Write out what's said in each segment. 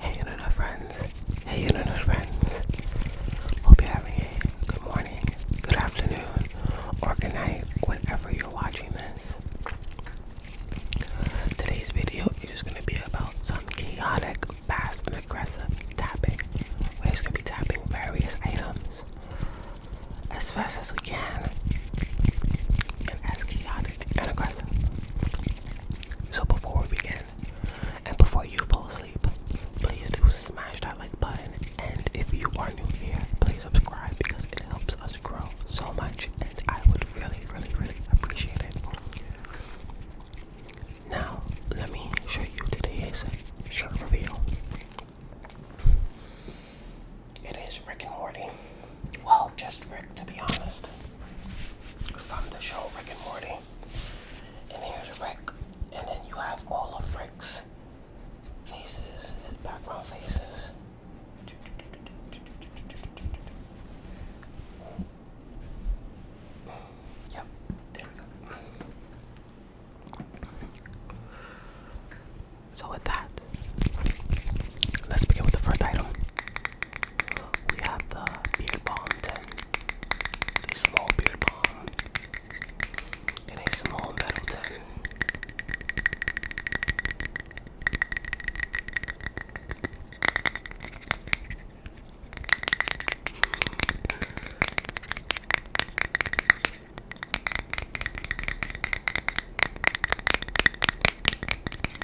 Hey internet friends, hey internet friends. Hope you're having a good morning, good afternoon, or good night, whenever you're watching this. Today's video is just gonna be about some chaotic, fast and aggressive tapping. We're just gonna be tapping various items as fast as we can and as chaotic and aggressive so before we begin, and before you fall asleep, please do smash that like button. And if you are new here, please subscribe because it helps us grow so much, and I would really, really, really appreciate it. Now, let me show you today's short reveal. It is Rick and Morty. Well, just Rick, to be honest from the show Rick and Morty. And here's Rick. And then you have all of Rick's faces, his background faces. Yep, there we go. So with that, let's begin with the first item. We have the beer bomb tin, a small beer bomb, and a small metal tin.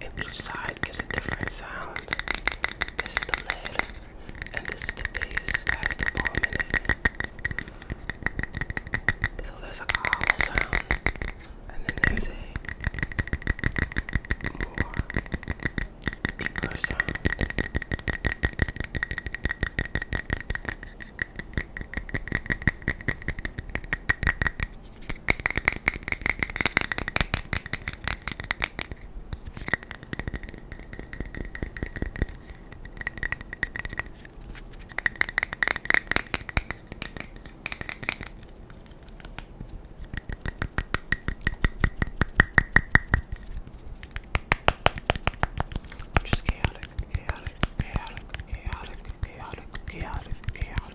and each side is a different sound. This is the lid, and this is the base that has the palm in it. So there's a hollow sound, and then there's a deeper sound. Just chaotic, chaotic, chaotic, chaotic, chaotic, chaotic, chaotic.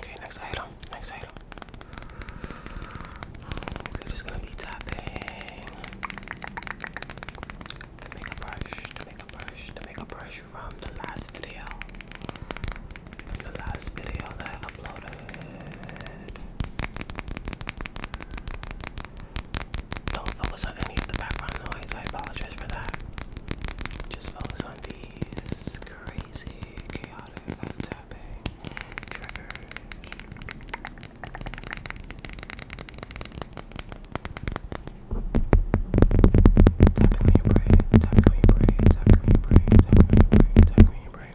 Okay, next item. Next item. Okay, just gonna be tapping the makeup brush, the makeup brush, the makeup brush from the last video. the last video that uploaded. Don't focus on any of the background noise. I apologize for that. Just focus on these crazy, chaotic, tapping triggers. Tapping on your brain, tapping on your brain, tapping on your brain, tapping on your brain, tapping on your brain.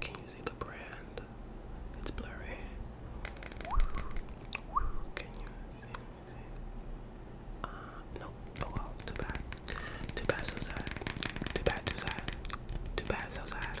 can you see the brand? It's blurry. Can you see? see? Uh, no. Oh well, too bad. Too bad, so sad. Too bad, too sad. Too bad, so sad.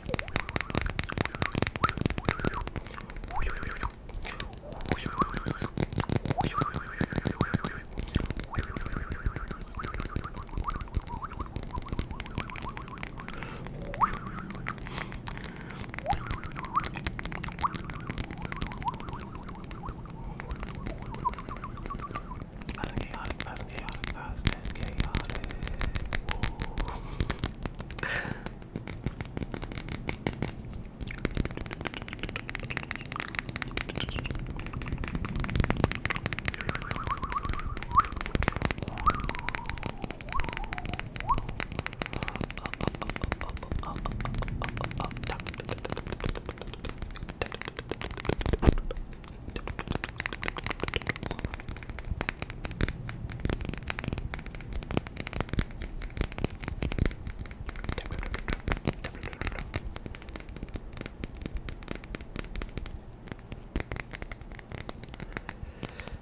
Other chaotic thoughts, chaotic thoughts, and chaotic.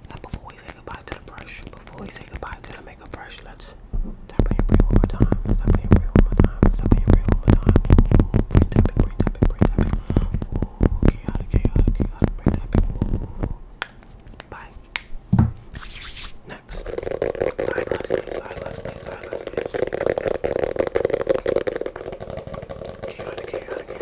Now before we say goodbye to the brush, before we say goodbye to the makeup brush, let's tap in and pray one more time. Let's tap one more time. Let's tap one more time. Ooh, pray, tap it, pray, tap chaotic, chaotic, chaotic, break that people. Bye. Next. Eyeglass case, eyeglass case, eyeglass case. Chaotic, chaotic, chaotic.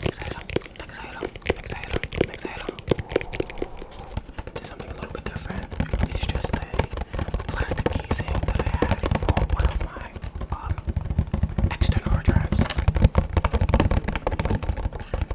Next item, next item, next item, next item. There's something a little bit different. It's just a plastic casing that I had for one of my um, external drives.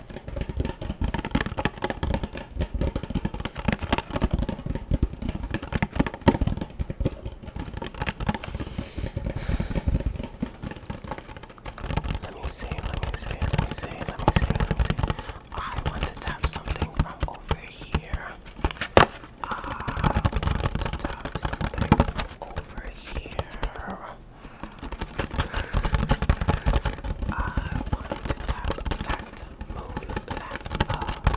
Let me see, let me see, let me see, let me see, let me see. I want to tap something from over here. I want to tap something from over here. I wanted to tap that moon lamp up.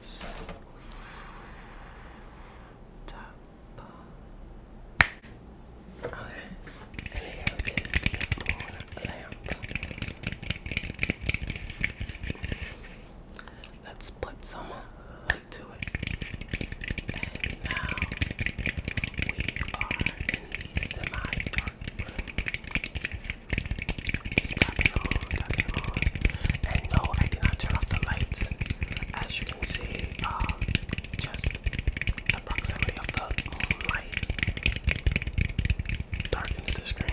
So let's and here is the lamp. Let's put some light to it now we are semi-dark Just tap on, tap on. And no, I did not turn off the lights. As you can see, um, just the proximity of the moonlight darkens the screen.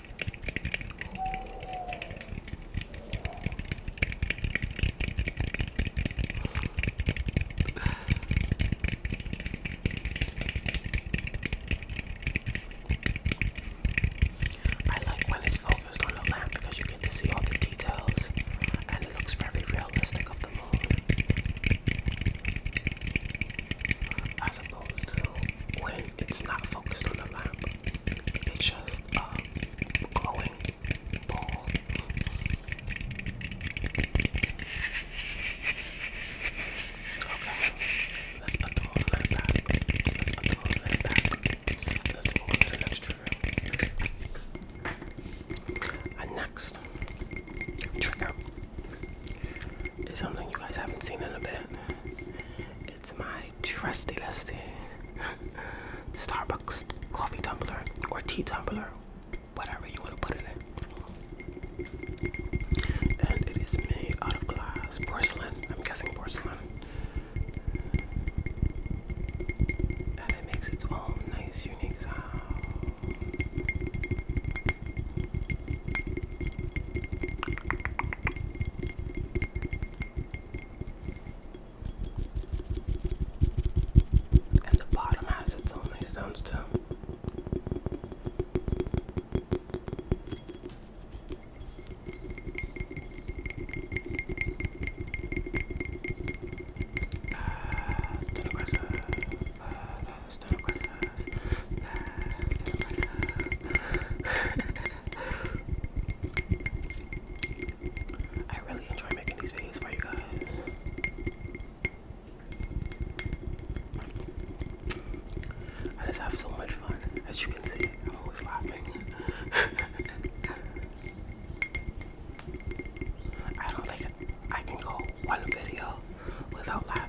I like when it's focused on the lamp because you get to see all the details and it looks very realistic of the moon. As when it's not focused on the lamp. It's just a um, glowing ball. Okay, let's put the lamp back. Let's put the lamp back. Let's move to the next trigger. And next trigger it's something you guys haven't seen in a bit. It's my trusty lusty Starbucks coffee tumbler or tea tumbler, whatever you want to put it in And it is made out of glass, porcelain. I'm guessing porcelain. And it makes its own nice, unique sound. And the bottom has its own sounds too. Uh, stand aggressive. Uh, stand aggressive. I really enjoy making these videos for you guys. I just have so much fun. As you can see, I'm always laughing. I don't think I can go one video without laughing.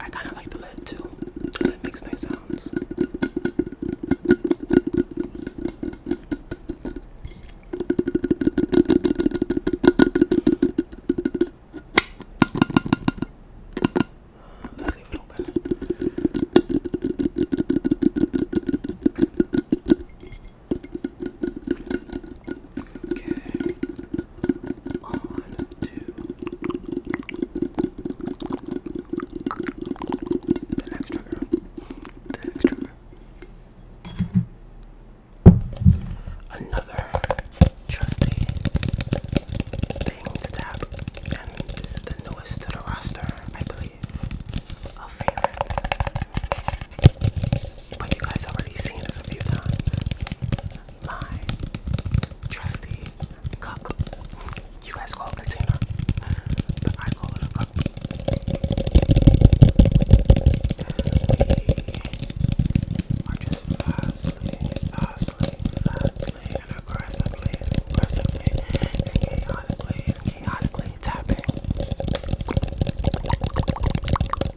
I kind of like the lid too. The lead makes nice sounds. let's leave it open. Okay on to the next trigger. The next trigger. Another trusty thing to tap, and the newest to the roster, I believe, of favorites. But you guys already seen it a few times. My trusty cup. You guys call it a container, but I call it a cup. We just vastly, vastly, vastly, and aggressively, aggressively, and chaotically, and chaotically tapping.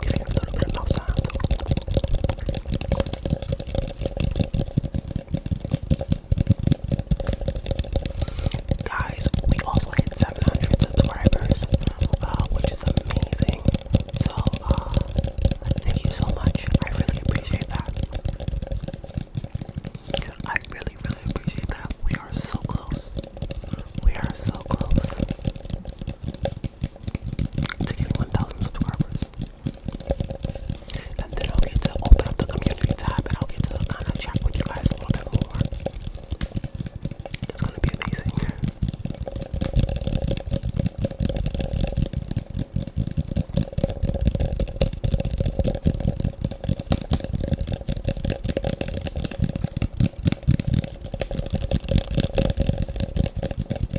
little bit of mouth Guys, we also hit 700 subscribers, uh, which is amazing. So, uh, thank you so much. I really appreciate that. I really, really appreciate that. We are so close. We are so close to getting 1,000 subscribers. And then I'll get to open up the community tab and I'll get to kind of chat with you guys a little bit more. It's gonna be amazing.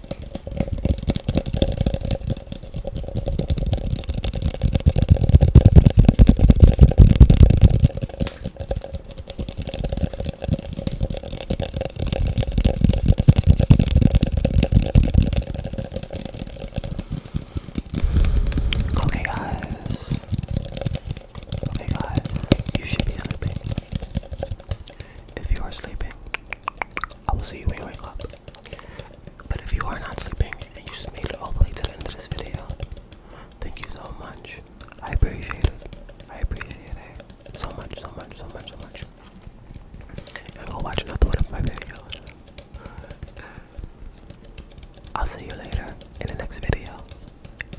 Okay, guys. Okay, guys. You should be sleeping. If you are sleeping, I will see you when you wake up. But if you are not sleeping and you just made it all the way to the end of this video, thank you so much. I appreciate it. I appreciate it so much, so much, so much, so much. And go watch another one of my videos. I'll see you later in the next video.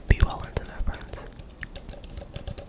Be well, internet friends.